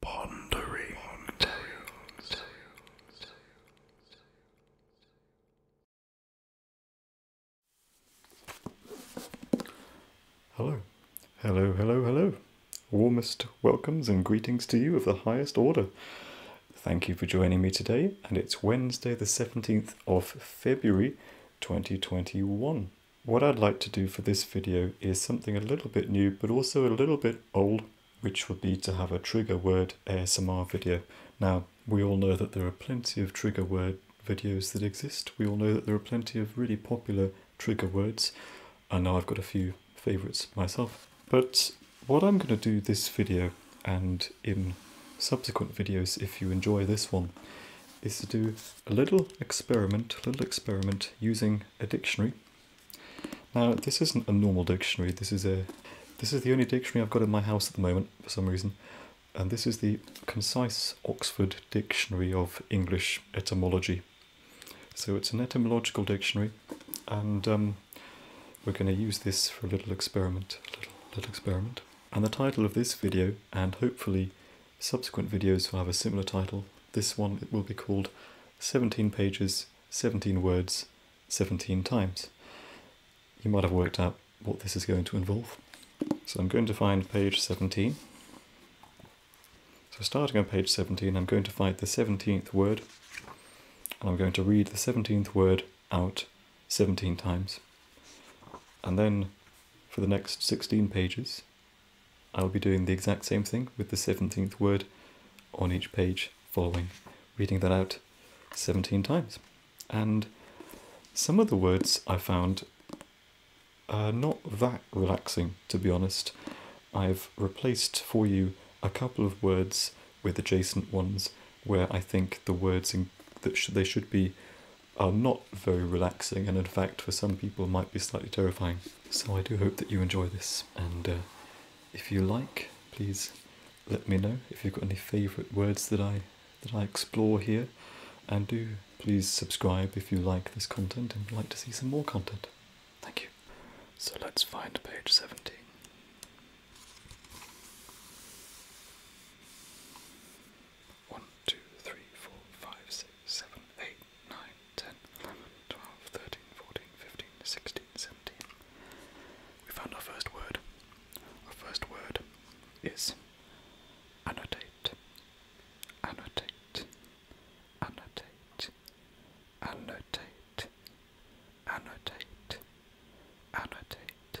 Pondering Hello, hello, hello, hello. Warmest welcomes and greetings to you of the highest order. Thank you for joining me today, and it's Wednesday, the 17th of February 2021. What I'd like to do for this video is something a little bit new but also a little bit old which would be to have a trigger word ASMR video. Now we all know that there are plenty of trigger word videos that exist. We all know that there are plenty of really popular trigger words. and know I've got a few favourites myself. But what I'm going to do this video and in subsequent videos if you enjoy this one is to do a little experiment, little experiment using a dictionary. Now this isn't a normal dictionary. This is a this is the only dictionary I've got in my house at the moment for some reason, and this is the Concise Oxford Dictionary of English Etymology. So it's an etymological dictionary, and um, we're going to use this for a little experiment, a little, little experiment. And the title of this video, and hopefully Subsequent videos will have a similar title. This one it will be called 17 pages, 17 words, 17 times. You might have worked out what this is going to involve. So I'm going to find page 17. So starting on page 17, I'm going to find the 17th word, and I'm going to read the 17th word out 17 times. And then for the next 16 pages, I'll be doing the exact same thing with the 17th word on each page following, reading that out 17 times. And some of the words I found are not that relaxing, to be honest. I've replaced for you a couple of words with adjacent ones where I think the words that they should be are not very relaxing and in fact for some people might be slightly terrifying. So I do hope that you enjoy this and uh, if you like please let me know if you've got any favourite words that I that I explore here and do please subscribe if you like this content and like to see some more content. Thank you. So let's find page 17. 1, 2, 3, 4, 5, 6, 7, 8, 9, 10, 11, 12, 13, 14, 15, 16, 17. We found our first word. Our first word is annotate, annotate, annotate, annotate, annotate, annotate,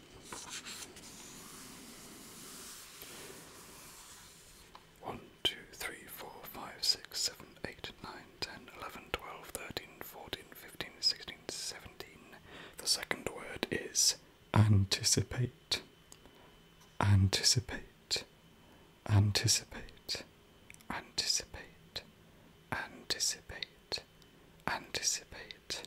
1, 2, 3, 4, 5, 6, 7, 8, 9, 10, 11, 12, 13, 14, 15, 16, 17. The second word is anticipate. Anticipate. Anticipate. Anticipate. Anticipate. Anticipate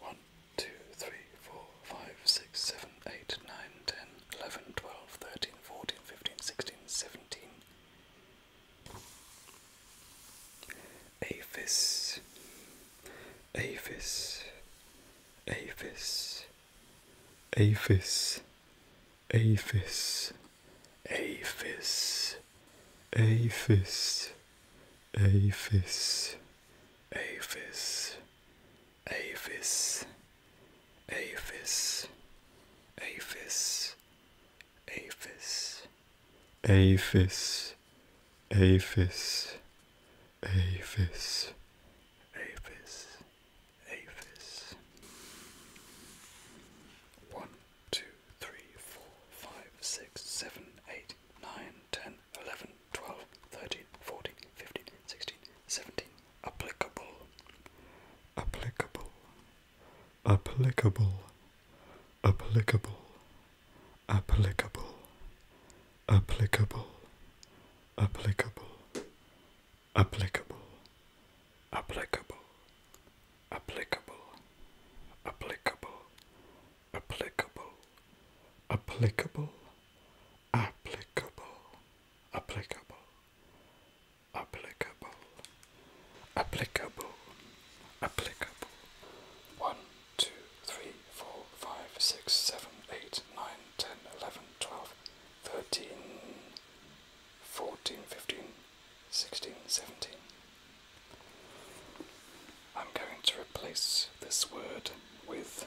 1, 2, 3, 4, 5, 6, 7, 8, 9, 10, 11, 12, 13, 14, 15, 16, 17. Aphis, Aphis, Aphis, Aphis, Aphis, Aphis, Aphis, Aphis, Aphis, Aphis, Aphis, Aphis, Aphis, Aphis, Aphis, Aphis, Aphis, One. 2, 3, 4, 5, 6, 7, 8, 9, 10, 11, 12, 13, 14, 15, 16, 17. Applicable. Applicable. Applicable. Applicable. Applicable. Applicable. Applicable. Applicable. Applicable. Applicable applicable, applicable, applicable, applicable, applicable, applicable, applicable. One, two, three, four, five, six, seven, eight, nine, ten, eleven, twelve, thirteen, fourteen, fifteen. 16, 17. I'm going to replace this word with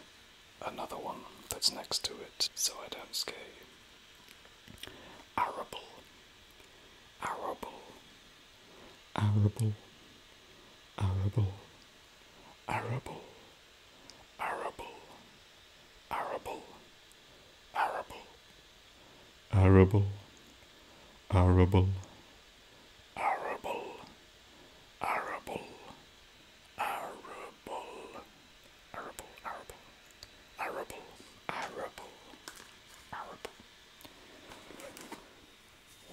another one that's next to it so I don't scare you. Arable, arable, arable, arable, arable, arable, arable, arable, arable, arable, arable, arable, arable, arable, arable, arable, arable, arable.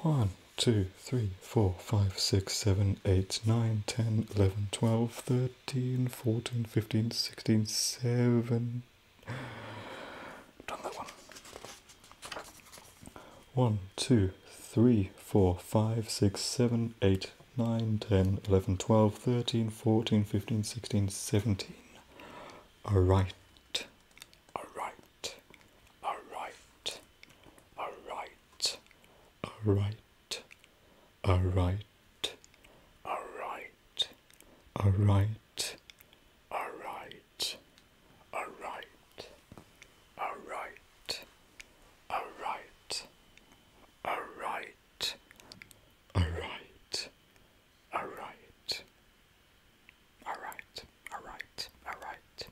One, two, three, four, five, six, seven, eight, nine, ten, eleven, twelve, thirteen, fourteen, fifteen, sixteen, seventeen. Done that one. One, two, three, four, five, six, seven, eight, nine, ten, eleven, twelve, thirteen, fourteen, fifteen, sixteen, seventeen. All right. All right. All right. All right. All right. All right. All right. All right. All right right, all right, all right, all right, all right, all right, all right, all right, all right, all right.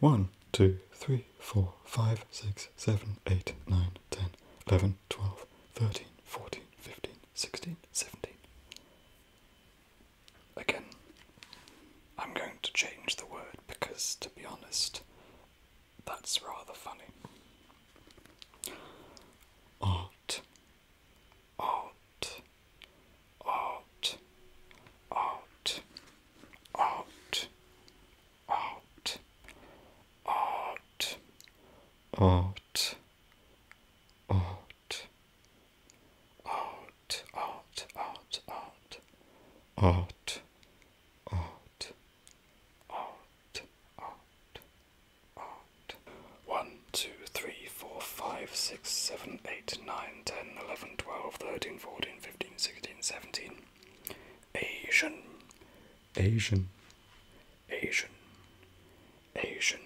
One, two, three, four, five, six, seven, eight, nine, ten, eleven, twelve, thirteen, fourteen, fifteen, sixteen, seventeen. Again, I'm going to change the word because, to be honest, that's rather funny. Art, art, art, art, art, art, art, art, art art, art, art, art, art, art, art, art, art, art. One, two, three, four, five, six, seven, eight, nine, ten, eleven, twelve, thirteen, fourteen, fifteen, sixteen, seventeen. Asian, Asian, Asian, Asian.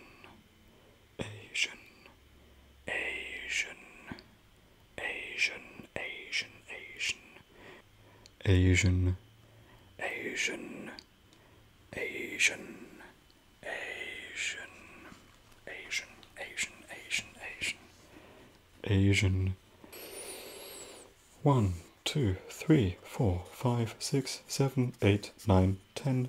Asian, Asian, Asian, Asian, Asian, Asian, Asian, Asian, Asian, Asian, Asian, Asian, Asian, Asian. One, two, three, four, five, six, seven, eight, nine, ten.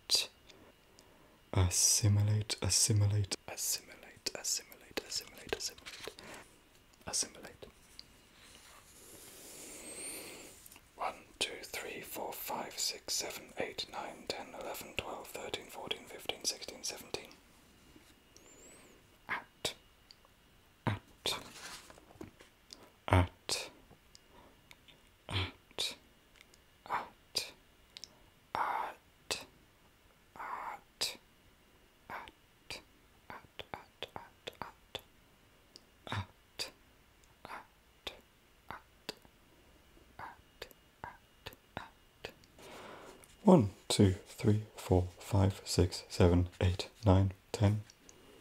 assimilate, assimilate, assimilate, assimilate, assimilate, assimilate, assimilate, assimilate. One, two, three, four, five, six, seven, eight, nine, ten, eleven, twelve, thirteen, fourteen, fifteen, sixteen, seventeen. At, at, at, out, out, out, out, out, out, out, out, out, out, out, out, out, out, out. One, two, three, four, five, six, seven, eight, nine, ten.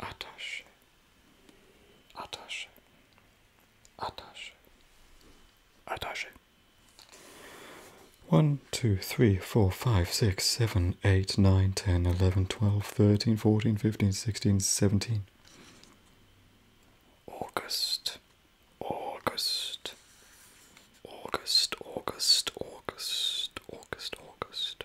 attaché, attaché, attaché, attaché. One, two, three, four, five, six, seven, eight, nine, ten, eleven, twelve, thirteen, fourteen, fifteen, sixteen, seventeen. August, August, August, August, August, August, August,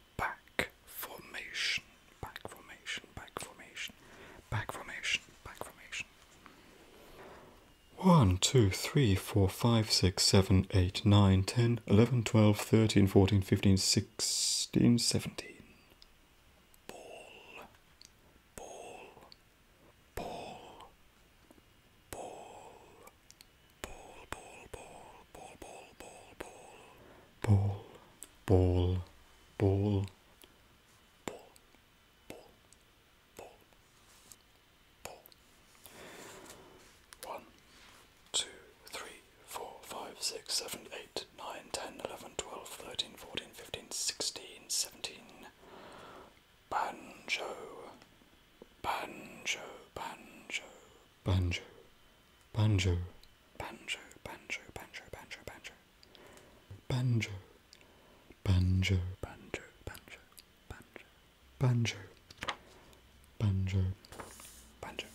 back formation, back formation, back formation, back formation, back formation. One, two, three, four, five, six, seven, eight, nine, ten, eleven, twelve, thirteen, fourteen, fifteen, sixteen, seventeen. Ball, ball, ball, ball, ball, ball, ball, ball, ball, ball, ball, ball, ball, ball, ball, ball, ball, ball. One, two, three, four, five, six, seven, eight, nine, ten, eleven, twelve, thirteen, fourteen, fifteen, sixteen, seventeen. Banjo, banjo, banjo banjo, banjo, banjo, banjo, banjo, banjo, banjo, banjo, banjo, banjo, banjo, banjo, banjo, banjo, banjo.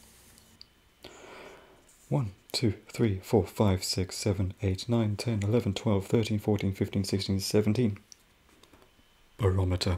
One, two, three, four, five, six, seven, eight, nine, ten, eleven, twelve, thirteen, fourteen, fifteen, sixteen, seventeen. Barometer.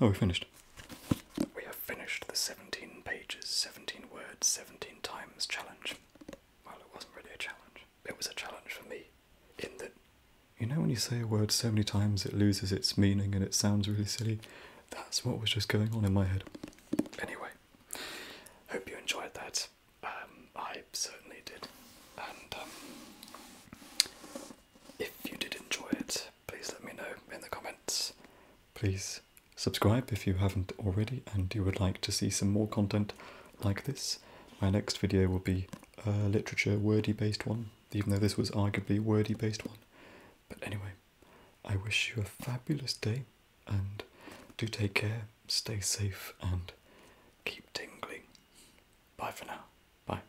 Oh, we finished. We have finished the 17 pages, 17 words, 17 times challenge. Well, it wasn't really a challenge. It was a challenge for me, in that, you know, when you say a word so many times it loses its meaning and it sounds really silly? That's what was just going on in my head. Anyway, hope you enjoyed that. Um, I certainly did. And um, if you did enjoy it, please let me know in the comments. Please subscribe if you haven't already and you would like to see some more content like this. My next video will be a literature wordy based one, even though this was arguably a wordy based one. But anyway, I wish you a fabulous day and do take care, stay safe and keep tingling. Bye for now. Bye.